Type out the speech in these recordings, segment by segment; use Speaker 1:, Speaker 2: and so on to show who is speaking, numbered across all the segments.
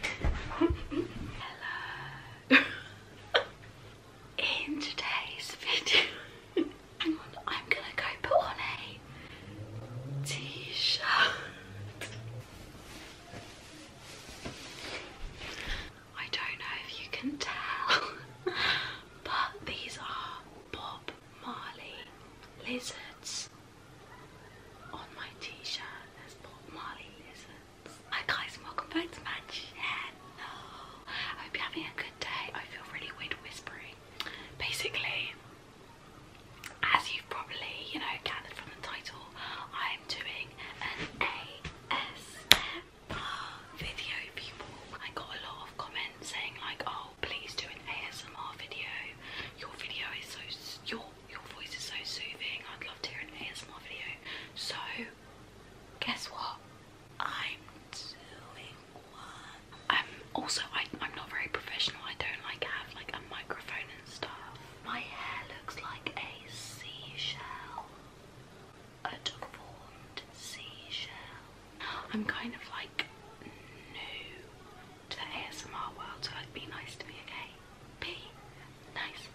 Speaker 1: Hello. In today's video, I'm gonna go put on a t-shirt. I don't know if you can tell, but these are Bob Marley lizards. On my t-shirt there's Bob Marley lizards. Hi guys and welcome back to my channel. I hope you're having a good day. I feel really weird whispering. Basically, as you've probably, you know, gathered from the title, I am doing an ASMR video people. I got a lot of comments saying like, oh please do an ASMR video. Your video is so, your your voice is so soothing. I'd love to hear an ASMR video. So, guess what? I'm doing one. Um, also, I, am not very professional. I don't like have like a microphone and stuff. My hair looks like a seashell. A deformed seashell. I'm kind of like new to the ASMR world, so like be nice to me, okay? Be nice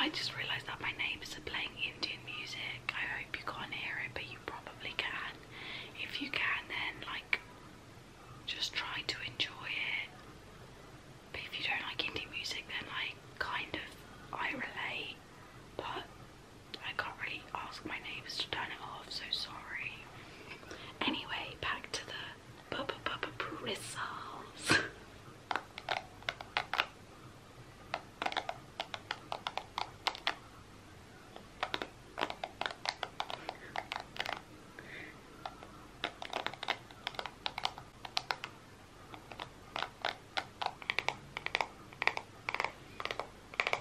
Speaker 1: I just realised that my neighbours are playing Indian music. I hope you can't hear it, but you probably can. If you can, then like, just try to enjoy it. But if you don't like Indian music, then like, kind of, I relate. But I can't really ask my neighbours to turn it off, so sorry. Anyway, back to the bu bu bristles.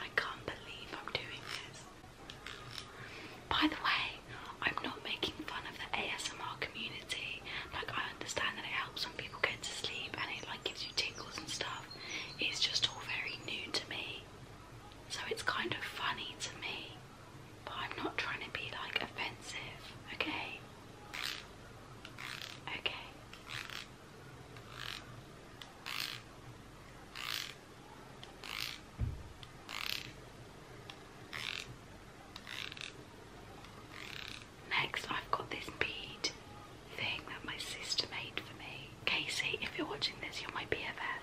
Speaker 1: I can't believe I'm doing this. By the way, I'm not making fun of the ASMR community. Like I understand that it helps when people get to sleep and it like gives you tingles and stuff. It's just all very new to me. So it's kind of funny to me. But I'm not trying to be like offensive, okay? Okay. Next, I've got this bead thing that my sister made for me. Casey, if you're watching this, you're my BFF.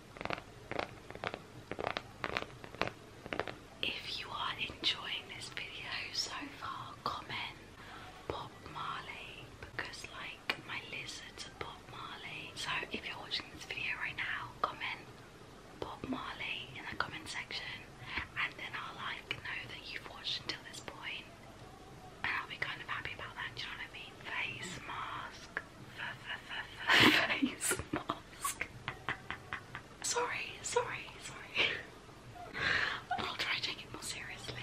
Speaker 1: If you are enjoying this video so far, comment Bob Marley because like my lizards are Bob Marley. So if you're watching this video right now, comment pop Marley in the comment section and then I'll like know that you've watched until this point and I'll be kind of happy about that, do you know what I mean? face mask. Sorry, sorry, sorry. I'll try to it more seriously.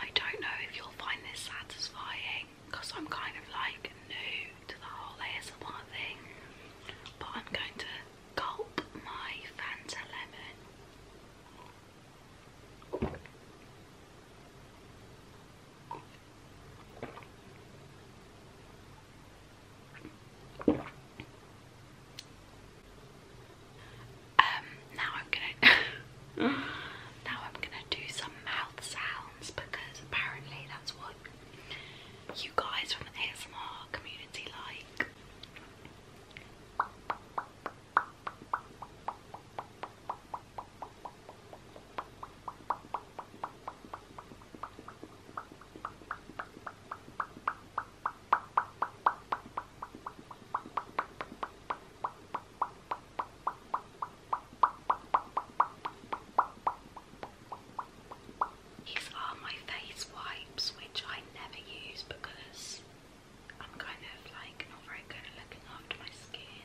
Speaker 1: I don't know if you'll find this satisfying because I'm kind of like new to the whole ASMR thing, but I'm going to gulp my Fanta lemon. Um, now I'm gonna now I'm gonna do some mouth sounds because apparently that's what you guys from the ASMR community like. These are my face wipes, which I never use because I'm kind of like not very good at looking after my skin.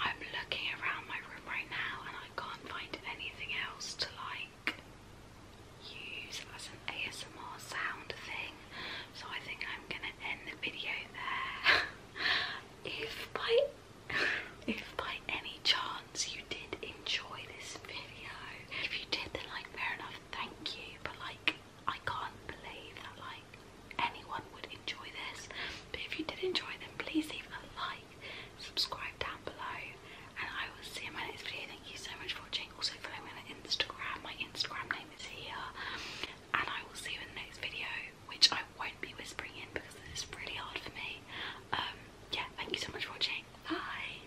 Speaker 1: I'm looking around my room right now and I can't find anything else to like use as an ASMR sound thing. So I think I'm gonna end the video there. if by if by any chance you did enjoy this video, if you did then like fair enough, thank you, but like I can't believe that like anyone would enjoy this. But if you did enjoy them, please leave a like, subscribe down below, and I will see you in my next video. Thank you so much for watching. Also follow me on Instagram, my Instagram name is here. And I will see you in the next video, which I won't be whispering in because this is really hard for me. Um yeah, thank you so much for watching. Bye!